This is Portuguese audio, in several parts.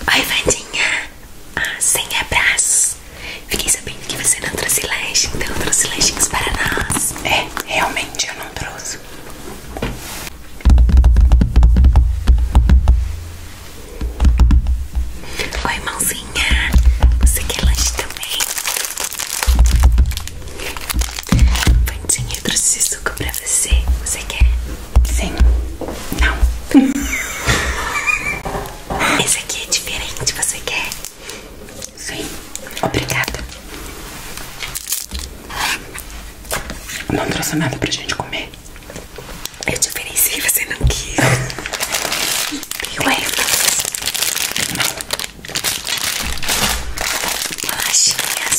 Oi, Vandinha! Ah, sem abraços! Fiquei sabendo que você não trouxe lanche, então trouxe lanchinhos para nós. É, realmente eu não trouxe. Oi, mãozinha! Você quer lanche também? Vandinha, eu trouxe suco para você. Você quer? Sim. Não. Esse aqui é diferente, você quer? Sim. Obrigada. Não trouxe nada pra gente comer. Eu te você não quis. Deu ervas. Não. Bolachinhas.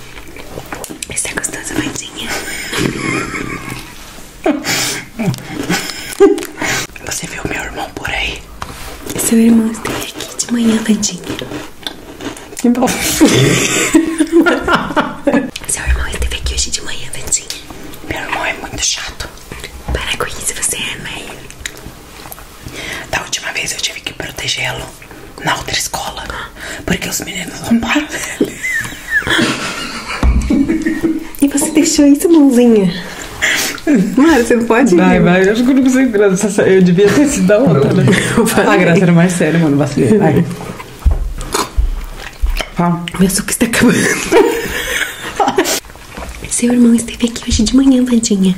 Está gostosa, bandinha? Você viu meu irmão por aí? Seu irmão esteve aqui de manhã, bandinha. Que bom. Seu irmão esteve aqui hoje de manhã, bandinha. Meu irmão é muito chato. Para com isso, você é mãe. Né? Da última vez eu tive que protegê-lo na outra escola. Porque os meninos roubaram ele. E você deixou isso, mãozinha? Mara, você não pode ir. Vai, vai. Eu acho que eu não consigo graça. Eu devia ter sido da outra, graças né? A ah, graça era mais sério, mano. Vacilei. Vai. Meu suco está acabando. Seu irmão esteve aqui hoje de manhã, vadinha.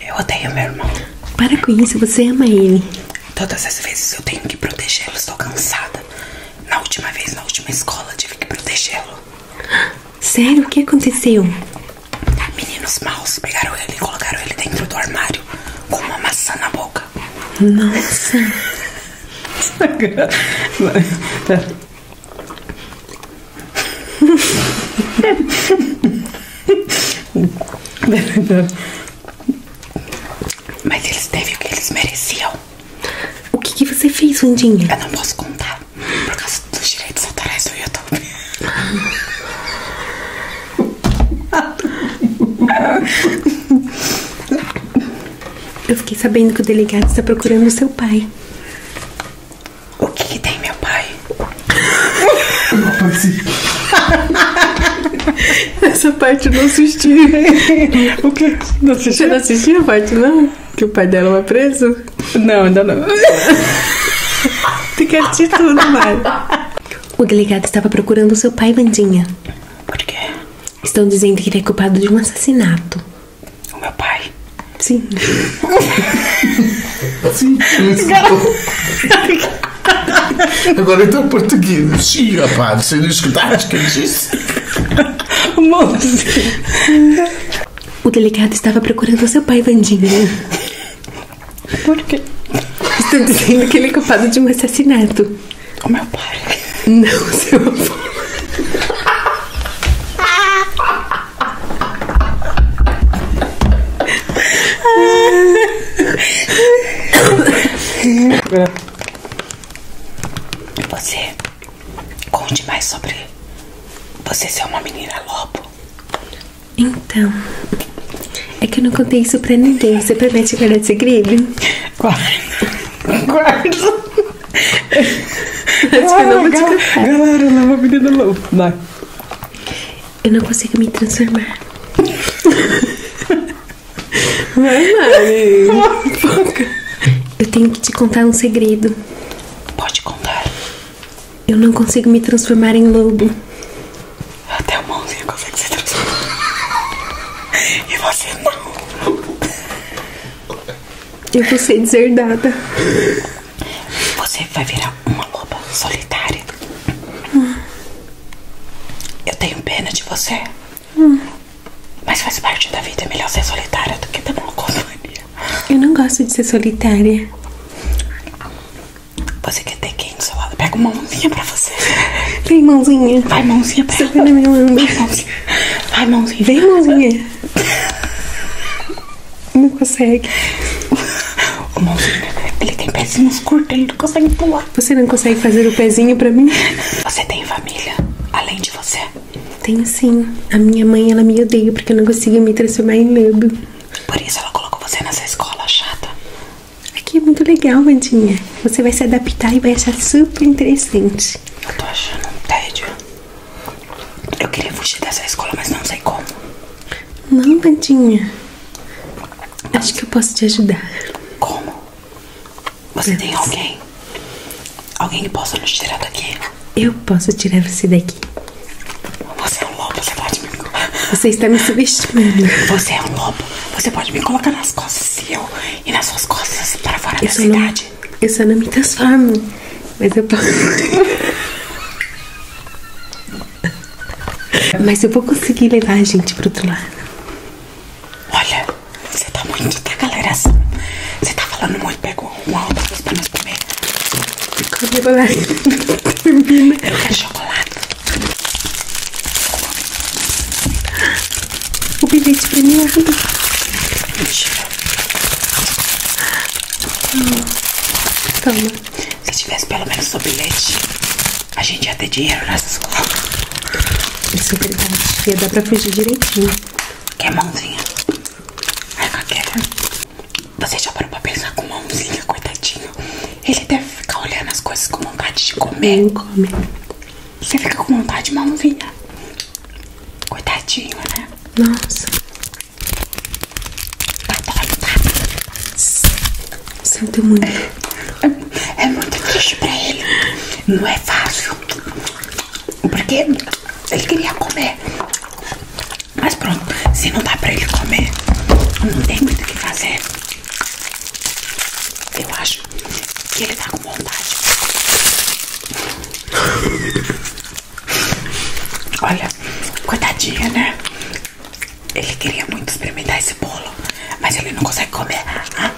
Eu odeio meu irmão. Para com isso, você ama ele. Todas as vezes eu tenho que protegê-lo, estou cansada. Na última vez, na última escola, tive que protegê-lo. Sério? O que aconteceu? Meninos maus pegaram ele e colocaram ele dentro do armário com uma maçã na boca. Nossa! Mas eles teve o que eles mereciam. O que, você fez, Wandinha? Eu não posso contar. Por causa dos direitos autorais do YouTube. Eu fiquei sabendo que o delegado está procurando o seu pai. O que, que tem, meu pai? Essa parte eu não assisti. o que? Não assisti? a parte, não? Que o pai dela é preso? Não, ainda não. Tem que assistir tudo, Mari. O delegado estava procurando seu pai, Vandinha. Por quê? Estão dizendo que ele é culpado de um assassinato. O meu pai? Sim. Sim. Sim. Agora então português. Sim, rapaz, você não escutaste que eu disse? Moço. O delicado estava procurando seu pai, Vandinha. Né? Por quê? Estou dizendo que ele é culpado de um assassinato. O meu pai. Não, seu avô. Você conte mais sobre você ser uma menina lobo. Então, é que eu não contei isso pra ninguém. Você promete guardar segredo? Guardo. Guardo. Acho que eu não vou te contar. Galera, ela é uma menina lobo. Vai. Eu não consigo me transformar. Vai, Mari. Eu tenho que te contar um segredo. Pode contar. Eu não consigo me transformar em lobo. Até o mãozinho consegue se transformar. E você não. Eu vou ser deserdada. Você vai virar uma loba solitária. Eu tenho pena de você. Mas faz parte da vida. É melhor ser solitária do que ter uma companhia. Eu não gosto de ser solitária. Você quer ter quem do seu lado? Pega uma mãozinha pra você. Vem, mãozinha. Vai, mãozinha. Pega. Você tá vai na minha mãozinha. Vai, mãozinha. Vem, mãozinha. não consegue. O mãozinho, ele tem pezinhos curtos, ele não consegue pular. Você não consegue fazer o pezinho pra mim? Você tem família, além de você? Tenho sim. A minha mãe, ela me odeia porque eu não consigo me transformar em lobo. Por isso ela colocou você nessa escola chata. Aqui é muito legal, Vandinha. Você vai se adaptar e vai achar super interessante. Eu tô achando um tédio. Eu queria fugir dessa escola, mas não sei como. Não, Bandinha. Acho que eu posso te ajudar. Como? Você tem alguém? Alguém que possa nos tirar daqui? Eu posso tirar você daqui. Você é um lobo, você pode me... Você está me subestimando. Você é um lobo. Você pode me colocar nas costas se eu e nas suas costas para fora da cidade. Não... eu só não me transformo. Mas eu posso... Mas eu vou conseguir levar a gente pro outro lado. Olha, você tá muito da tá, galera Você tá falando muito, pega uma outra coisa pra nós comer. Combina. Eu quero chocolate. O bilhete premiado. Mentira. Toma. Se tivesse pelo menos o bilhete, a gente ia ter dinheiro nessa né, escola. Isso é verdade. Ia pra fugir direitinho. Quer mãozinha? Ai, Caqueta. Você já parou pra pensar com mãozinha, coitadinho? Ele deve ficar olhando as coisas com vontade de comer. Não come. Você fica com vontade mãozinha. Coitadinho, né? Nossa. Sinto muito. É, é muito triste pra ele. Não é fácil. Porque ele queria comer. Mas pronto, se não dá pra ele comer, não tem muito o que fazer. Eu acho que ele tá com vontade. Olha, coitadinha, né? Ele queria muito experimentar esse bolo, mas ele não consegue comer. Ah.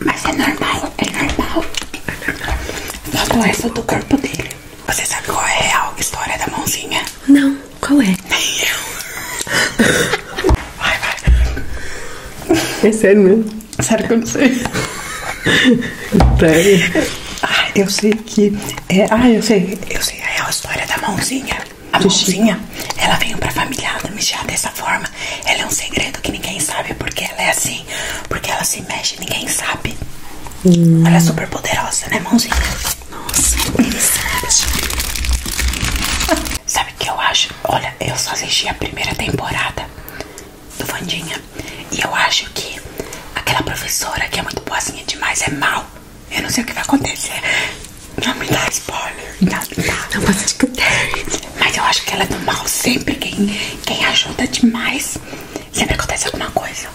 Mas é normal, é normal. Logo essa do corpo dele. Você sabe qual é a história da mãozinha? Não, qual é? Nem eu. Vai, vai. É sério mesmo? Sério que eu não sei. Sério? Ah, eu sei que é, ah, eu sei, eu sei é a história da mãozinha. A mãozinha, Chico. ela veio pra família da Michá dessa forma. Ela é um segredo que ninguém sabe porque ela é assim, porque ela se mexe, ninguém sabe. Hum. Ela é super poderosa, né, mãozinha? Nossa, interessante. Sabe o que eu acho? Olha, eu só assisti a primeira temporada do Vandinha. E eu acho que aquela professora que é muito boazinha demais é mal. Eu não sei o que vai acontecer. Não me dá spoiler. Não me Não posso discutir. Mas eu acho que ela é do mal. Sempre quem, quem ajuda demais, sempre acontece alguma coisa.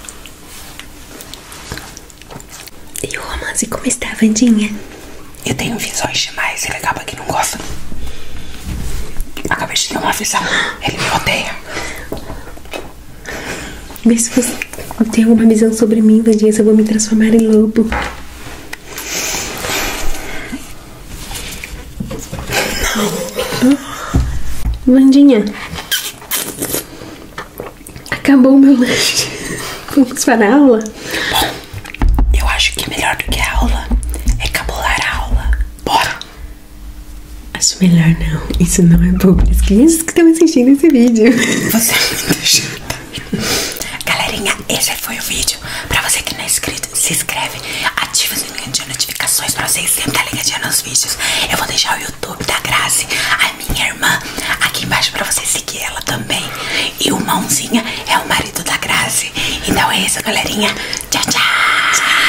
E o romance como está, Vandinha? Eu tenho visões demais. Ele é acaba que não gosta. Acabei de ter uma visão. Ele me odeia. Vê se você tem alguma visão sobre mim, Vandinha, se eu vou me transformar em lobo. Vandinha, acabou o meu lanche. Vamos para a aula? Bom, eu acho que melhor do que a aula é cabular aula. Bora! Acho melhor não. Isso não é bom para as crianças que estão assistindo esse vídeo. Você é muito chata. Galerinha, esse foi o vídeo. Para você que não é inscrito, se inscreve. Ativa o sininho de notificações para vocês sempre estar tá nos vídeos. Eu vou deixar o YouTube da Grazi, a minha irmã, aqui embaixo para você seguir ela também. E o Mãozinha é o marido da Grazi. Então é isso, galerinha. Tchau, tchau.